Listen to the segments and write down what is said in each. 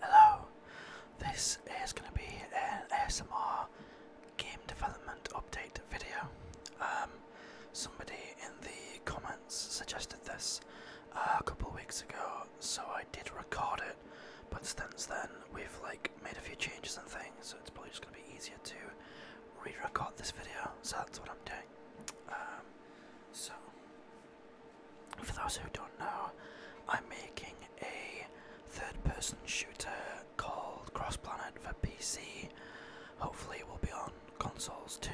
Hello, this is going to be an ASMR game development update video. Um, somebody in the comments suggested this uh, a couple of weeks ago, so I did record it, but since then we've like made a few changes and things, so it's probably just going to be easier to re-record this video, so that's what I'm doing. Um, so, for those who don't know, I'm making a third person shooter called Cross Planet for PC. Hopefully, it will be on consoles too.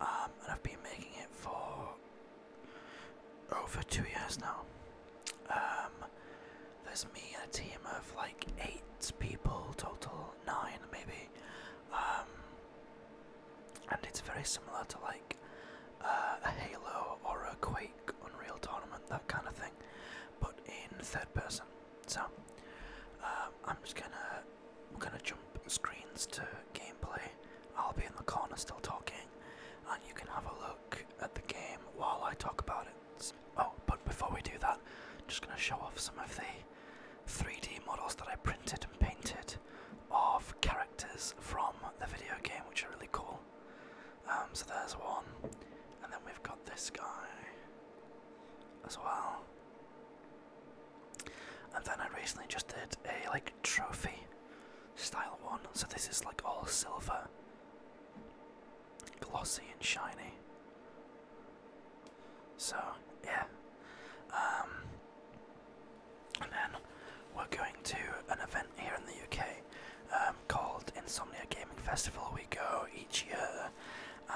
Um, and I've been making it for over two years now. Um, there's me and a team of like eight people total, nine maybe. Um, and it's very similar to like uh, a Halo or a Quake Unreal Tournament, that kind of thing, but in third person. So um, I'm just gonna gonna jump screens to gameplay. I'll be in the corner still talking, and you can have a look at the game while I talk about it. oh, but before we do that, I'm just gonna show off some of the 3D models that I printed and painted of characters from the video game, which are really cool. Um, so there's one, and then we've got this guy as well. And then I recently just did a like trophy style one, so this is like all silver, glossy and shiny. So yeah, um, and then we're going to an event here in the UK um, called Insomnia Gaming Festival. We go each year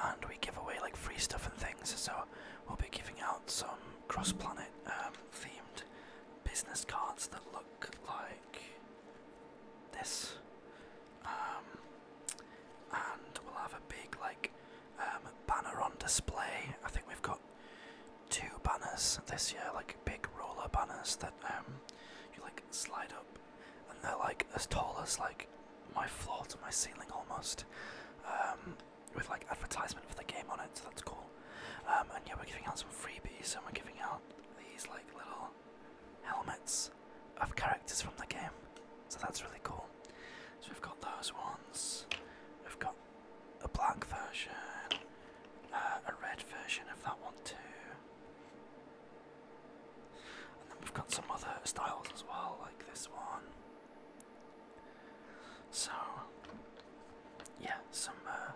and we give away like free stuff and things. So we'll be giving out some Cross Planet um, themed business cards that look like this, um, and we'll have a big like um, banner on display. I think we've got two banners this year, like big roller banners that um, you like slide up, and they're like as tall as like my floor to my ceiling almost, um, with like advertisement for the game on it. So that's cool. and yeah, we're giving out some freebies, and we're giving out these like little helmets of characters from the game. So that's really cool. So we've got those ones. We've got a black version, uh, a red version of that one too. And then we've got some other styles as well, like this one. So, yeah, some uh,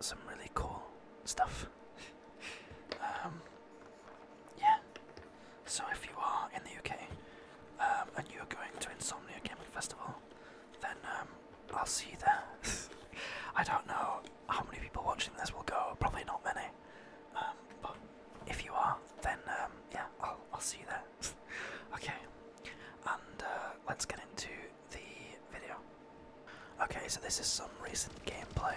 some really cool stuff. um, yeah. So if you are in the UK um, and you are going to Insomnia Gaming Festival, then um, I'll see you there. I don't know how many people watching this will go. Probably not many. Um, but if you are, then yeah, I'll I'll see you there. okay. And uh, let's get into the video. Okay, so this is some recent gameplay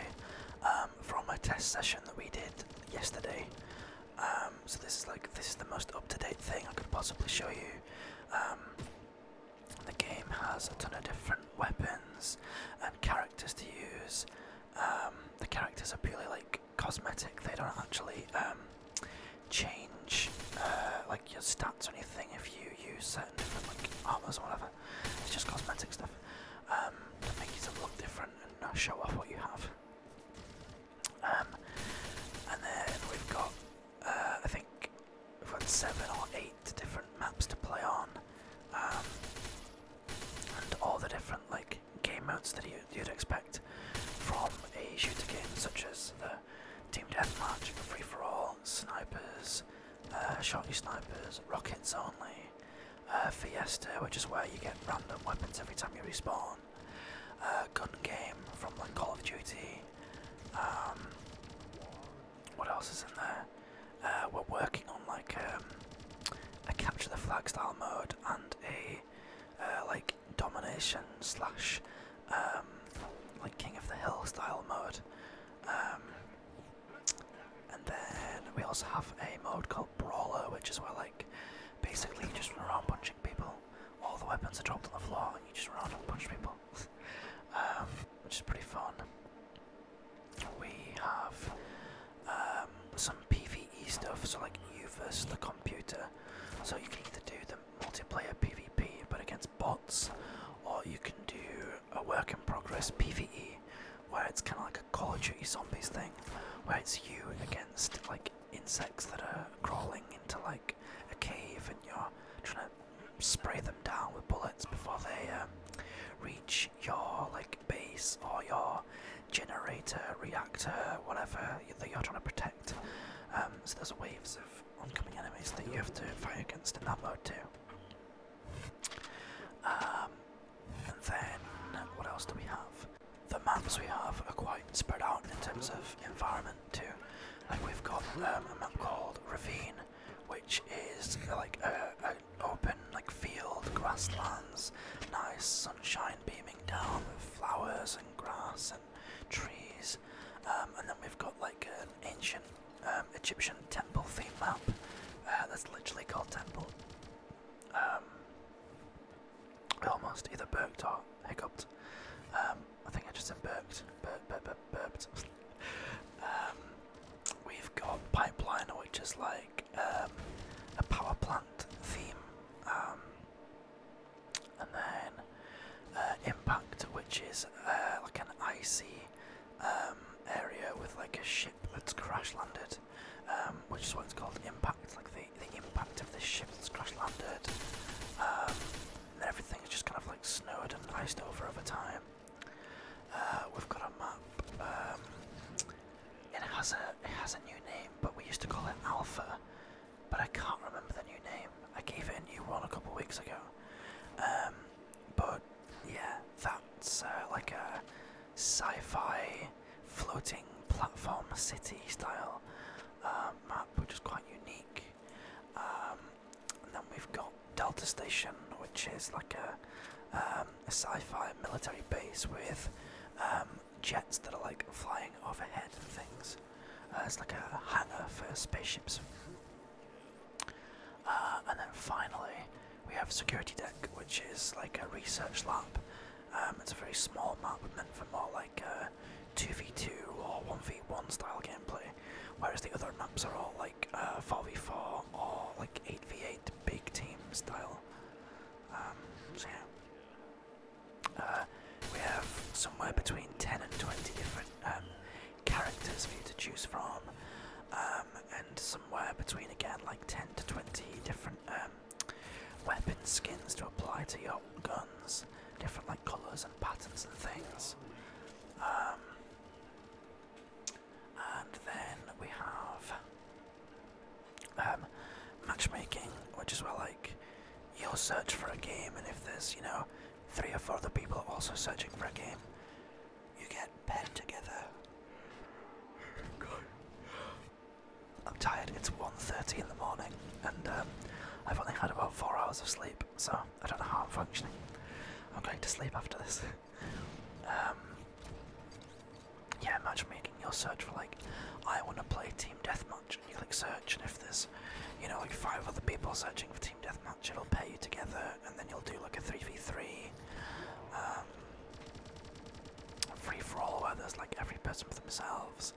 from a test session that we did yesterday. Um, so this is like this is the most up-to-date thing I could possibly show you. Um, the game has a ton of different weapons and characters to use. Um, the characters are purely like cosmetic; they don't actually change uh, like your stats or anything if you use certain different like armors or whatever. It's just cosmetic stuff to make you look different front and show off what you have. Um, and then we've got, uh, I think we've got seven or eight different maps to play on, um, and all the different like game modes that you, would expect from a shooter game, such as the team deathmatch, free for all, snipers, uh, snipers, rockets only, uh, Fiesta, which is where you get random weapons every time you respawn. Uh, gun game from like Call of Duty. Um, what else is in there? Uh, we're working on like um, a capture the flag style mode and a like domination slash um, like King of the Hill style mode. And then we also have a mode called Brawler, which is where like basically you just run around punching people. All the weapons are dropped on the floor and you just run around and punch people. Um, which is pretty fun. We have um, some PvE stuff, so like you versus the computer. So you can either do the multiplayer PvP but against bots, or you can do a work in progress PvE where it's kind of like a Call of Duty Zombies thing, where it's you against like insects that are crawling into like a cave, and you're trying to spray them down with bullets before they um, reach your like base or your generator, reactor, whatever that you're trying to protect. Um, so there's waves of oncoming enemies that you have to fight against in that mode too. Um, and then what else do we have? The maps we have are quite spread out in terms of environment too. Like we've got um, a map called Ravine, which is like an open like field, grasslands, nice sunshine beaming down with flowers and grass and trees. Um, and then we've got like an ancient um, Egyptian temple theme map. Uh, that's literally called temple. Um, I almost either burped or hiccuped. Um, I think I just said burped. Burp, burp, burp, burped. we've got pipeline, which is like a power plant theme. and then uh, impact, which is uh, like an icy um, area with like a ship that's crash landed, um, which is what's called impact, like the, the impact of this ship that's crash landed. Um, and everything is just kind of like snowed and iced over over time. Uh, we've got a map. it has a it has a new name, but we used to call it Alpha. But I can't remember the new name. I gave it a new one a couple weeks ago. but yeah, that's uh, like a sci-fi floating platform city style uh, map, which is quite unique. Um, and then we've got Delta Station, which is like a, um, sci-fi military base with um, jets that are like flying overhead and things. Uh, it's like a hangar for spaceships. Uh, and then finally, we have Security Deck, which is like a research lab. Um, it's a very small map meant for more like 2v2 uh, or 1v1 style gameplay, whereas the other maps are all like 4v4 uh, or like 8v8 big team style. Um, so we have somewhere between 10 and 20 different um, characters for you to choose from, um, and somewhere between again like 10 to 20 different um, weapon skins to apply to your guns, different like colours and patterns and things. Um, and then we have um, matchmaking, which is where like you'll search for a game, and if there's, you know, three or four other people also searching for a game, you get paired together. I'm tired, it's 1.30 in the morning, and um, I've only had about four hours of sleep, so I don't know how I'm functioning. I'm going to sleep after this. Um, yeah, imagine making your search for like, I want to play team team deathmatch, and you click search, and if there's, you know, like five other people searching for team deathmatch, it'll pair you together, and then you'll do like a three v three, um, free for all where there's like every person for themselves.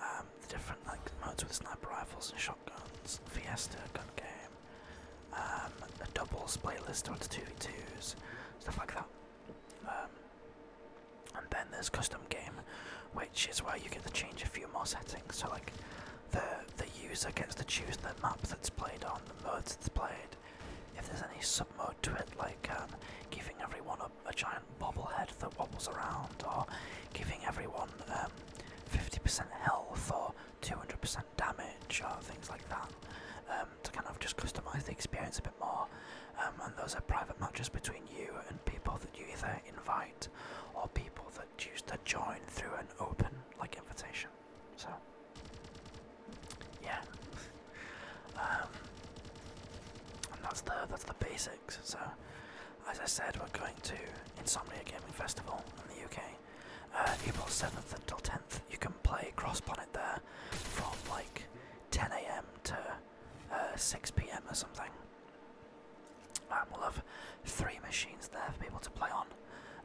Um, the different like modes with sniper rifles and shotguns, Fiesta gun game, um, doubles playlist onto two v twos, stuff like that. Um, and then there's custom game, which is where you get to change a few more settings. So like the the user gets to choose the map that's played on, the modes that's played. If there's any sub mode to it, like um, giving everyone a, giant bobblehead that wobbles around, or giving everyone 50% um, health or 200% damage, or things like that, um, to kind of just customize the experience a bit more. Um, and those are private matches between you and people that you either invite or people that choose to join through an open like invitation. So, yeah, um, and that's the that's the basics. So, as I said, we're going to Insomnia Gaming Festival in the UK. Uh, April 7th until 10th, you can play Cross Planet there from like 10 a.m. to uh, 6 p.m. or something. Um, we'll have three machines there for people to play on,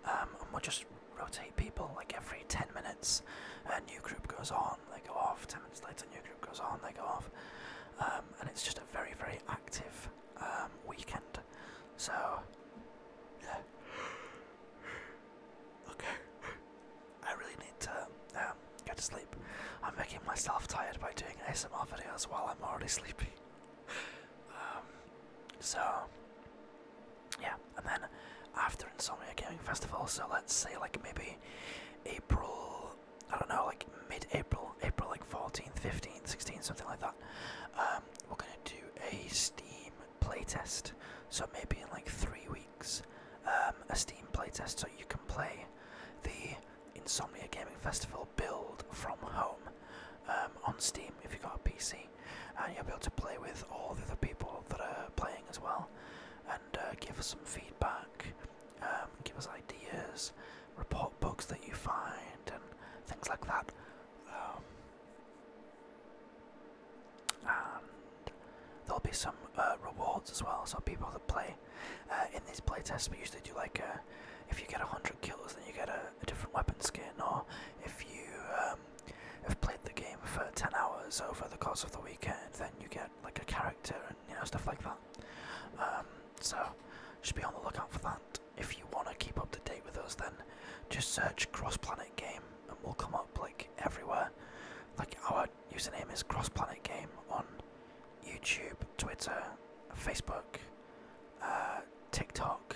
um, and we'll just rotate people like every 10 minutes. A new group goes on, they go off. 10 minutes later, a new group goes on, they go off. Um, and it's just a very, very active um, weekend. So, yeah. Okay. I really need to um, go to sleep. I'm making myself tired by doing ASMR videos while I'm already sleepy. Um, so, yeah, and then after Insomnia Gaming Festival, so let's say like maybe April, I don't know, like mid-April, April like 14th, 15th, 16th, something like that. Um, we're gonna do a Steam playtest, so maybe in like three weeks um, a Steam playtest so you can play the Insomnia Gaming Festival build from home um, on Steam if you've got a PC, and you'll be able to play with all the other people that are playing as well and uh, give us some feedback, um, give us ideas, report bugs that you find, and things like that. Um, there'll be some uh, rewards as well. So people that play uh, in these playtests, we usually do like uh, if you get 100 kills, then you get a, different weapon skin, or if you um, have played the game for 10 hours over the course of the weekend, then you get like a character and you know stuff like that. Um, so just be on the lookout for that. If you want to keep up to date with us, then just search Cross Planet Game, and we'll come up like everywhere. Like our username is CrossPlanet Game on YouTube, Twitter, Facebook, uh, TikTok.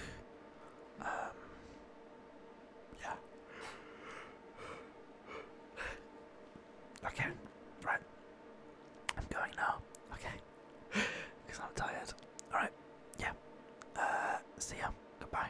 Um, yeah. Okay, right. I'm going now. Okay, because I'm tired. All right. Yeah. Uh, see ya. Goodbye.